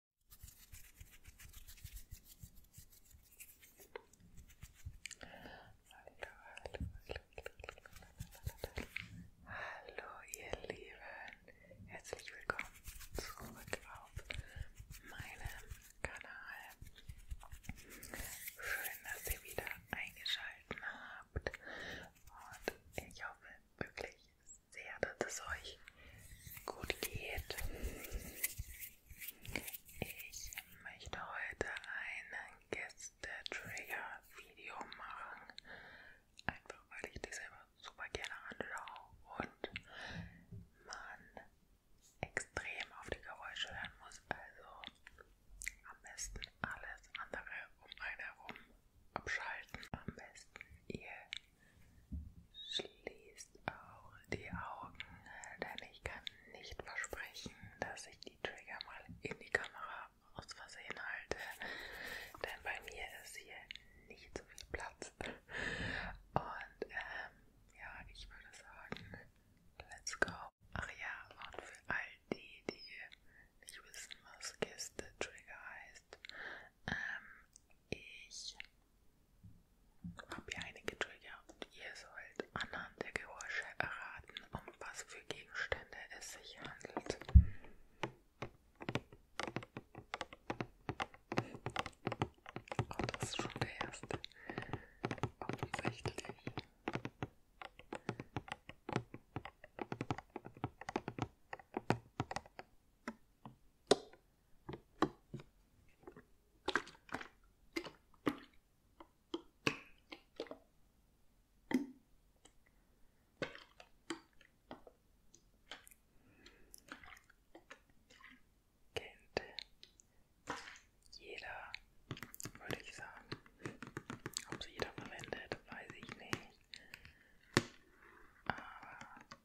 Hallo, hallo, hallo, hallo ihr Lieben, herzlich willkommen zurück auf meinem Kanal. Schön, dass ihr wieder eingeschaltet habt und ich hoffe wirklich, sehr, dass es euch gut geht. Ich möchte heute ein Gäste-Trigger-Video machen, einfach weil ich das selber super gerne anschaue und man extrem auf die Geräusche hören muss, also am besten alles andere um einen herum abschalten. Am besten ihr Schließt auch die Augen, denn ich kann nicht versprechen, dass ich die Trigger mal in die Kamera aus Versehen halte, denn bei mir ist hier nicht so viel Platz. Und ähm, ja, ich würde sagen, let's go. Ach ja, und für all die, die nicht wissen, was Kiste Trigger heißt, ähm, ich habe hier einige Trigger und ihr sollt anhand der Geräusche erraten, um was für Gegenstände es sich handelt. Oh, das ist schon der erste. Offensichtlich. Kennt jeder, würde ich sagen. Ob es jeder verwendet, weiß ich nicht. Aber ah.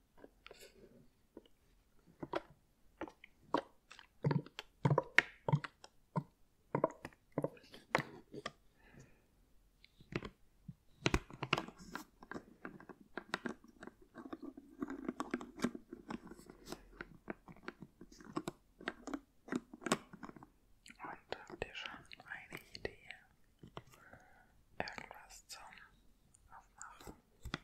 Und habt ihr schon eine Idee? Irgendwas zum Aufmachen?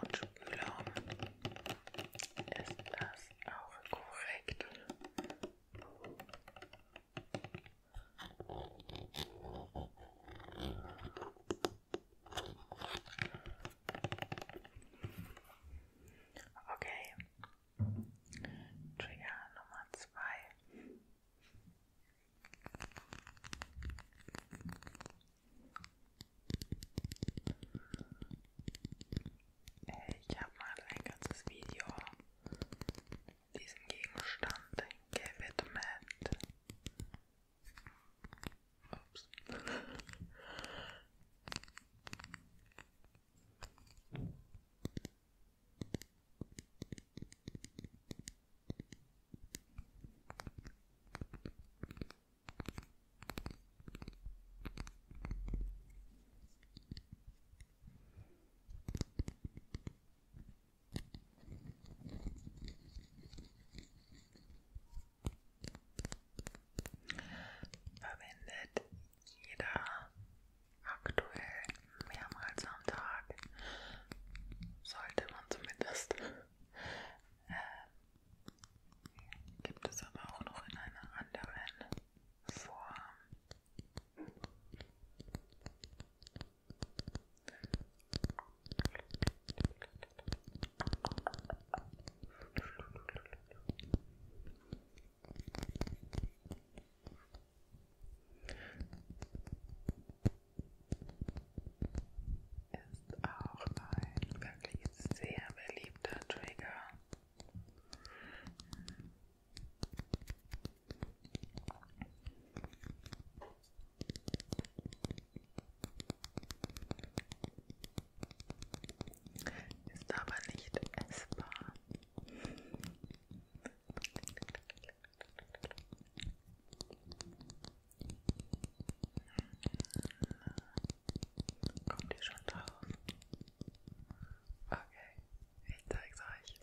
Und Ölraum ist das auch korrekt. Okay. Trigger Nummer zwei. Ich habe mal ein ganzes Video diesem Gegenstand gewidmet. Ups. Verwendet jeder aktuell mehrmals am Tag. Sollte man zumindest. Äh, gibt es aber auch noch in einer anderen Form ist auch ein wirklich sehr beliebter Trigger. Ist aber nicht essbar. Kommt ihr schon drauf? Okay, ich zeig's euch.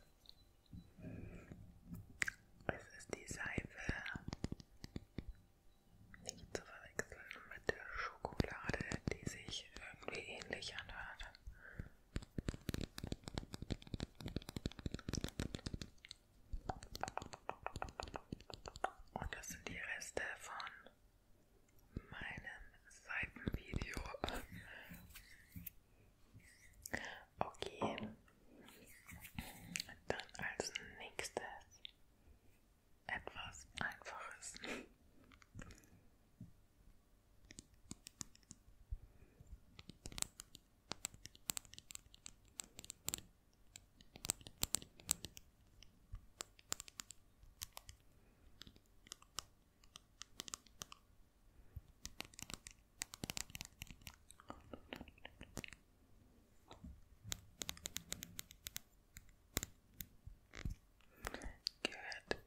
Es ist die Seife. Nicht zu verwechseln mit der Schokolade, die sich irgendwie ähnlich anhört. Und das sind die Reste von meinem Seitenvideo. Okay. Dann als nächstes etwas Einfaches. Gehört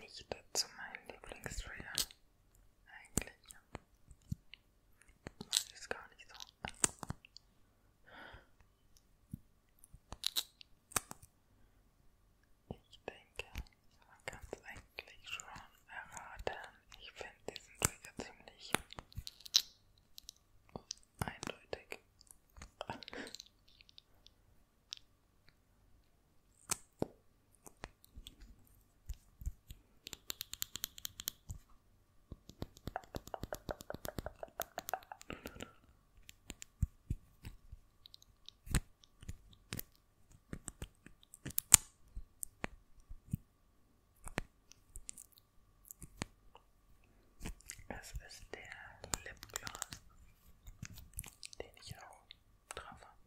nicht zu meinen Lieblingsfilmen. Eigentlich. Das ist gar nicht so. Ich denke, man kann es eigentlich schon erraten. Ich finde diesen Trigger ziemlich eindeutig. Es ist der Lipgloss, den ich auch drauf habe.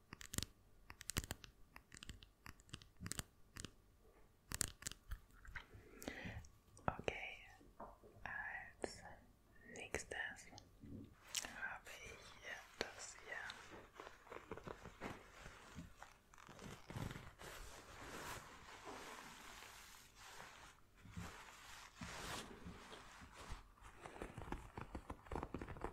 Okay, als nächstes habe ich hier das hier.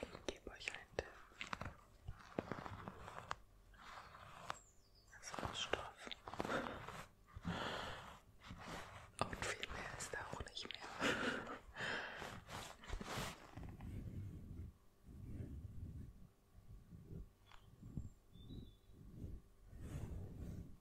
Ich gebe euch einen Tipp. Das ist aus Stoff. Und viel mehr ist da auch nicht mehr.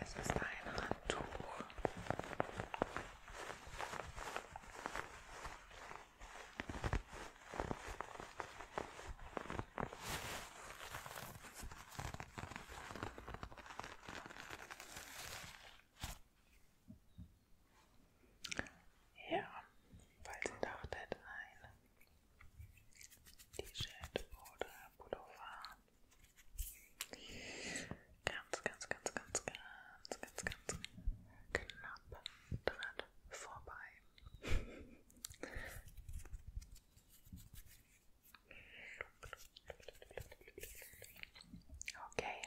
Es ist ein Handtuch. Ja, falls ihr dachtet, ein T-Shirt oder Pullover. Ganz, ganz, ganz, ganz, ganz, ganz, ganz knapp dran vorbei. Okay.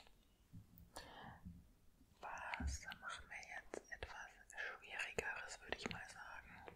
Was machen wir jetzt? Etwas Schwierigeres, würde ich mal sagen.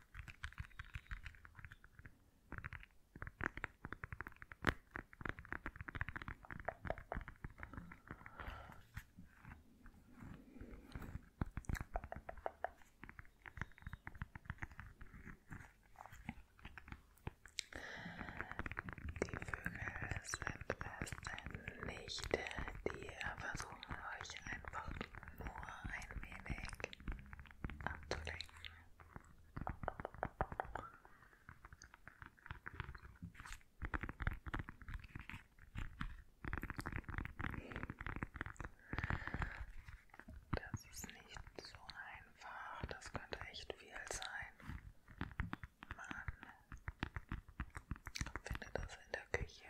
Die Vögel sind es nicht, die versuchen euch einfach nur ein wenig abzulenken. Das ist nicht so einfach, das könnte echt viel sein. Man findet das in der Küche.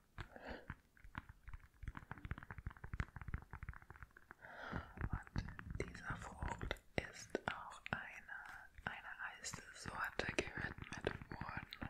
Und dieser Frucht ist auch eine, eine Eissorte gewidmet worden.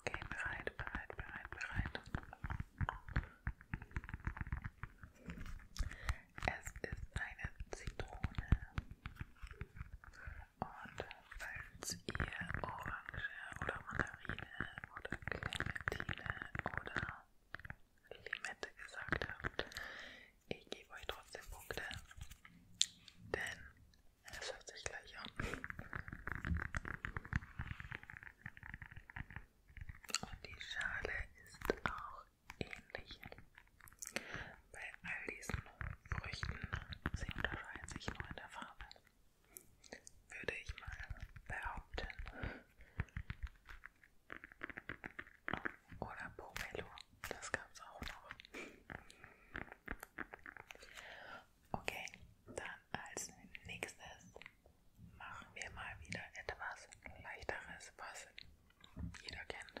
Okay, bereit, bereit, bereit, bereit. Es ist eine Zitrone. Und falls ihr Orange oder Mandarine oder Clementine oder Limette gesagt habt, ich gebe euch trotzdem Punkte. Denn es hört sich gleich an. Und die Schale ist auch ähnlich. Bei all diesen Früchten, sie unterscheiden sich nur in der Farbe, würde ich mal behaupten. Oder Pomelo, das gab es auch noch. Okay, dann als nächstes machen wir mal wieder etwas leichteres, was jeder kennt.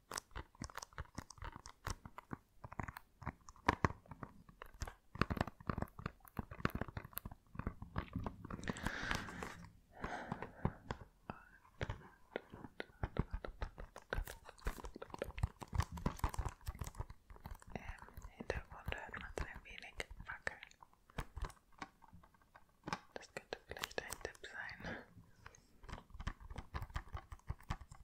Im ähm, Hintergrund hört man es ein wenig wackeln. Das könnte vielleicht ein Tipp sein.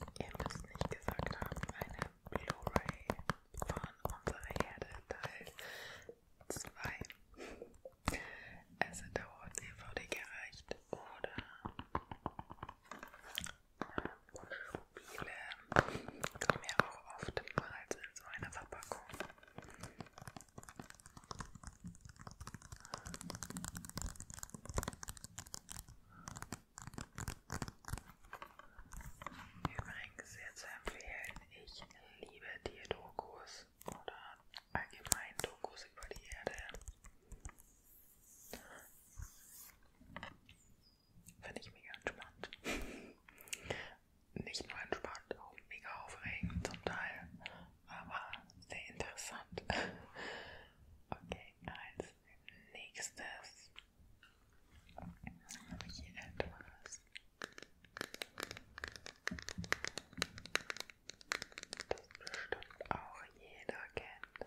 Und ihr müsst nicht gesagt haben, eine Blu-ray von unserer Herde Teil 2. Es hat dauert DVD gereicht oder Spiele kommen ja auch oftmals in so einer Verpackung. Übrigens sehr zu empfehlen, ich liebe Tierdokus oder allgemein Dokus über die Erde. Finde ich mega entspannt nicht nur entspannt, auch mega aufregend zum Teil, aber sehr interessant. Okay, als nächstes habe ich hier etwas. Das bestimmt auch jeder kennt.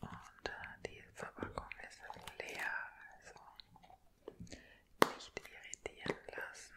Und äh, die Verpackung ist leer, also nicht irritieren lassen.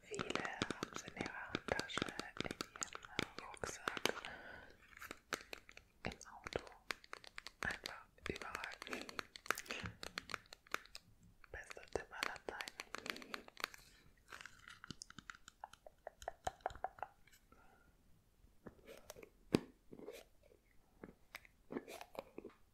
Viele haben es in ihrer Handtasche, in ihrem Rucksack, im Auto, einfach überall. Bester Tipp aller Zeiten.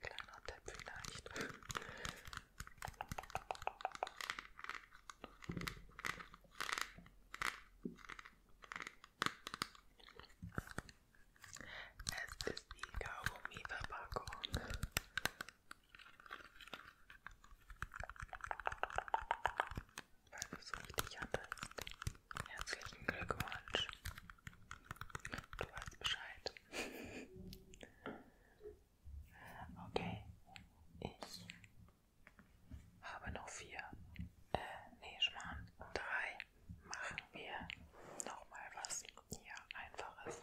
Kleiner Tipp vielleicht. Es ist die Kaugummi-Verpackung. Weil du es richtig hattest. Herzlichen Glückwunsch. Du weißt Bescheid. Okay, ich habe noch vier. Äh, nee, Schmarrn. Drei. Machen wir nochmal was hier Einfaches.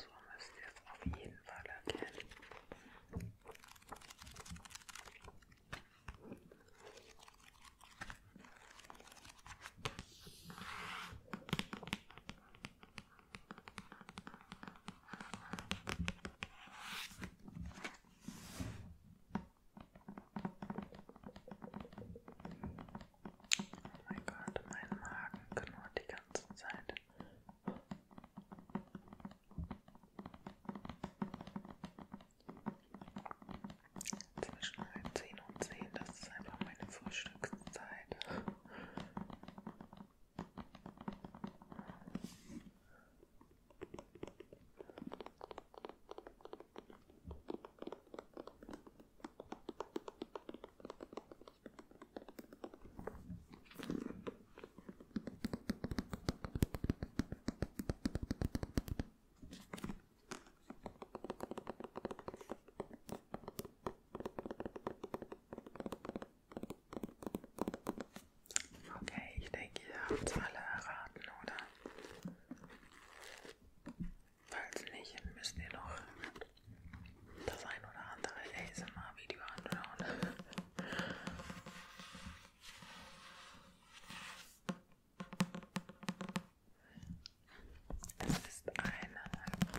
So müsst ihr es auf jeden Fall erkennen. So, Oh mein Gott, mein Magen knurrt die ganze Zeit. Zwischen 10 und 10, das ist einfach meine Frühstückszeit. Okay, ich denke, ihr habt es alle erraten, oder? Falls nicht, müsst ihr noch das ein oder andere ASMR-Video anschauen. Es ist ein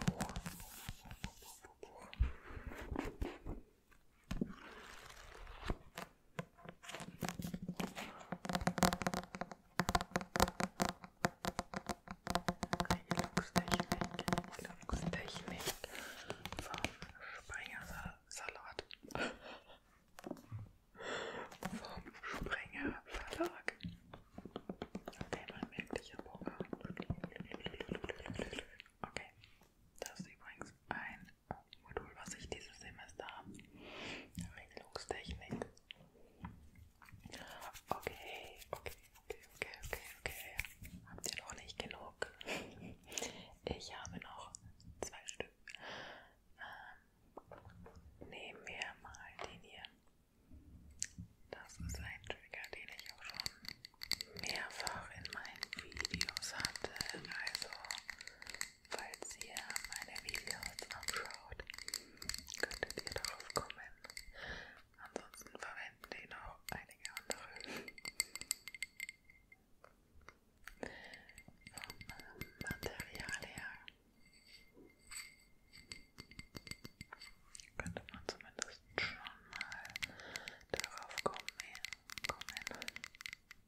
Buch. Buch, Buch, Buch, Buch. Glückstechnik, Glückstechnik vom Sprenger Salat. vom Sprenger Verlag. Okay, man merkt, ich habe Hunger. Okay, das ist übrigens ein Modul, was ich dieses Semester habe. Regelungstechnik. Okay, okay, okay, okay, okay, okay. Habt ihr noch nicht genug? Ich habe noch zwei Stück. Ähm, nehmen wir mal den hier. Das ist ein Trigger, den ich auch schon mehrfach in meinen Videos hatte. Also Falls ihr meine Videos anschaut, könntet ihr darauf kommen. Ansonsten verwenden die noch einige andere. Vom äh, Material her könnte man zumindest schon mal darauf kommen. kommen.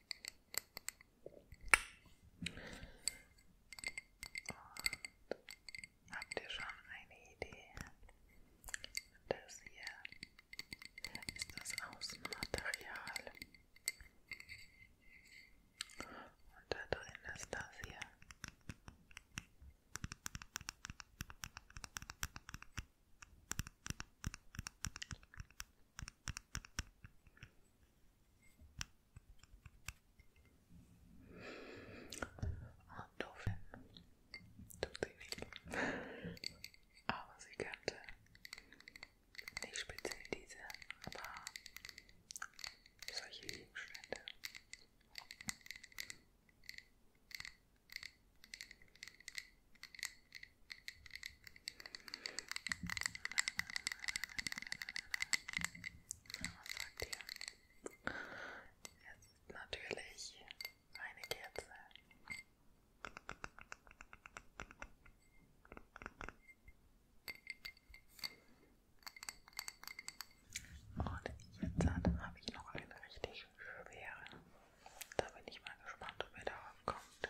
Und habt ihr schon eine Idee? Das hier ist das Außenmaterial. Und da drin ist das hier. Andoffen tut sie nicht. Aber sie kannte nicht speziell diese, aber solche Gegenstände. Na, was sagt ihr? Jetzt natürlich meine Kerze. Und jetzt habe ich noch eine richtig schwere. Da bin ich mal gespannt, ob ihr darauf kommt.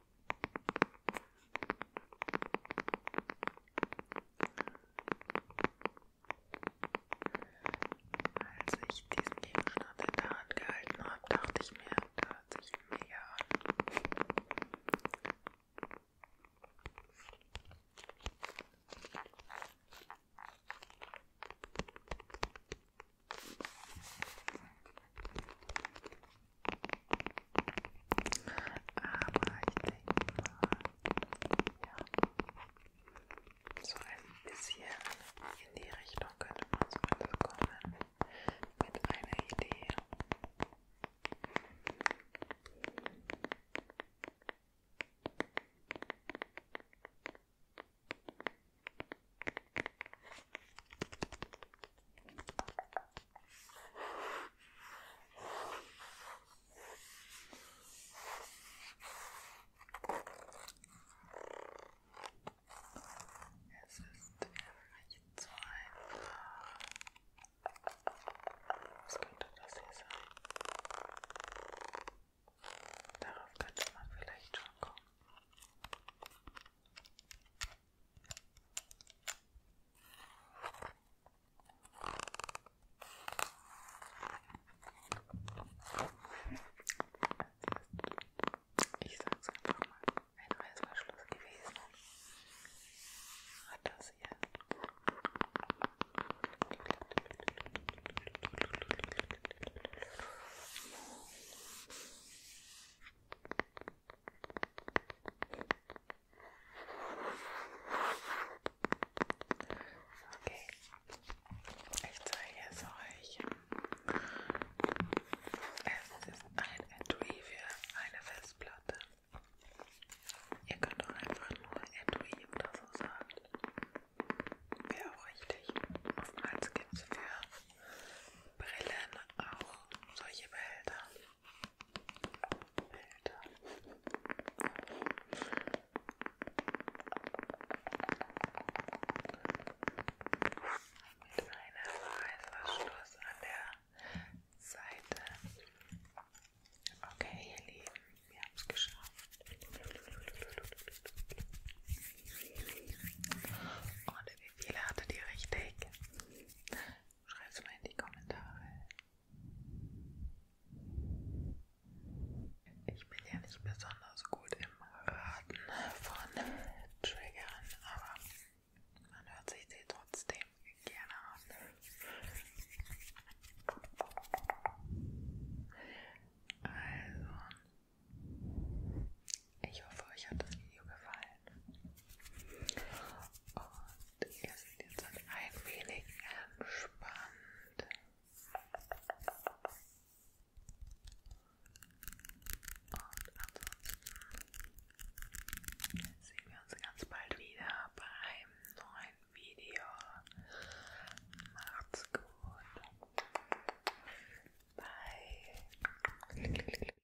Als ich diesen Gegenstand in der Hand gehalten habe, dachte ich mir, das hört sich mega an. Aber ich denke mal, ja, so ein bisschen in die Richtung könnte man zumindest kommen mit einer Idee. Es ist wirklich zu einfach. Was könnte das hier sein? Darauf könnte man vielleicht schon kommen. Ich sag's einfach mal, ein Reißverschluss gewesen hat das hier. Okay, ich zeige es euch. Es ist ein Etui für eine Festplatte. Ihr könnt auch einfach nur Etui oder so sagen. Wäre auch richtig. Oftmals gibt es für Brillen auch solche Behälter. Bilder. Mit einem Reißverschluss an der Seite. Okay, ihr Lieben, wir haben es geschafft. Und wie viele hattet ihr richtig? Schreib's mal in die Kommentare. Ich bin ja nicht besonders gut im Raten von Triggern, aber man hört sich sie trotzdem gerne an. Also, ich hoffe, euch hat das Video gefallen. Und ihr seht jetzt ein wenig entspannt. Und ansonsten sehen wir uns ganz bald wieder bei einem neuen Video. Macht's gut. Bye.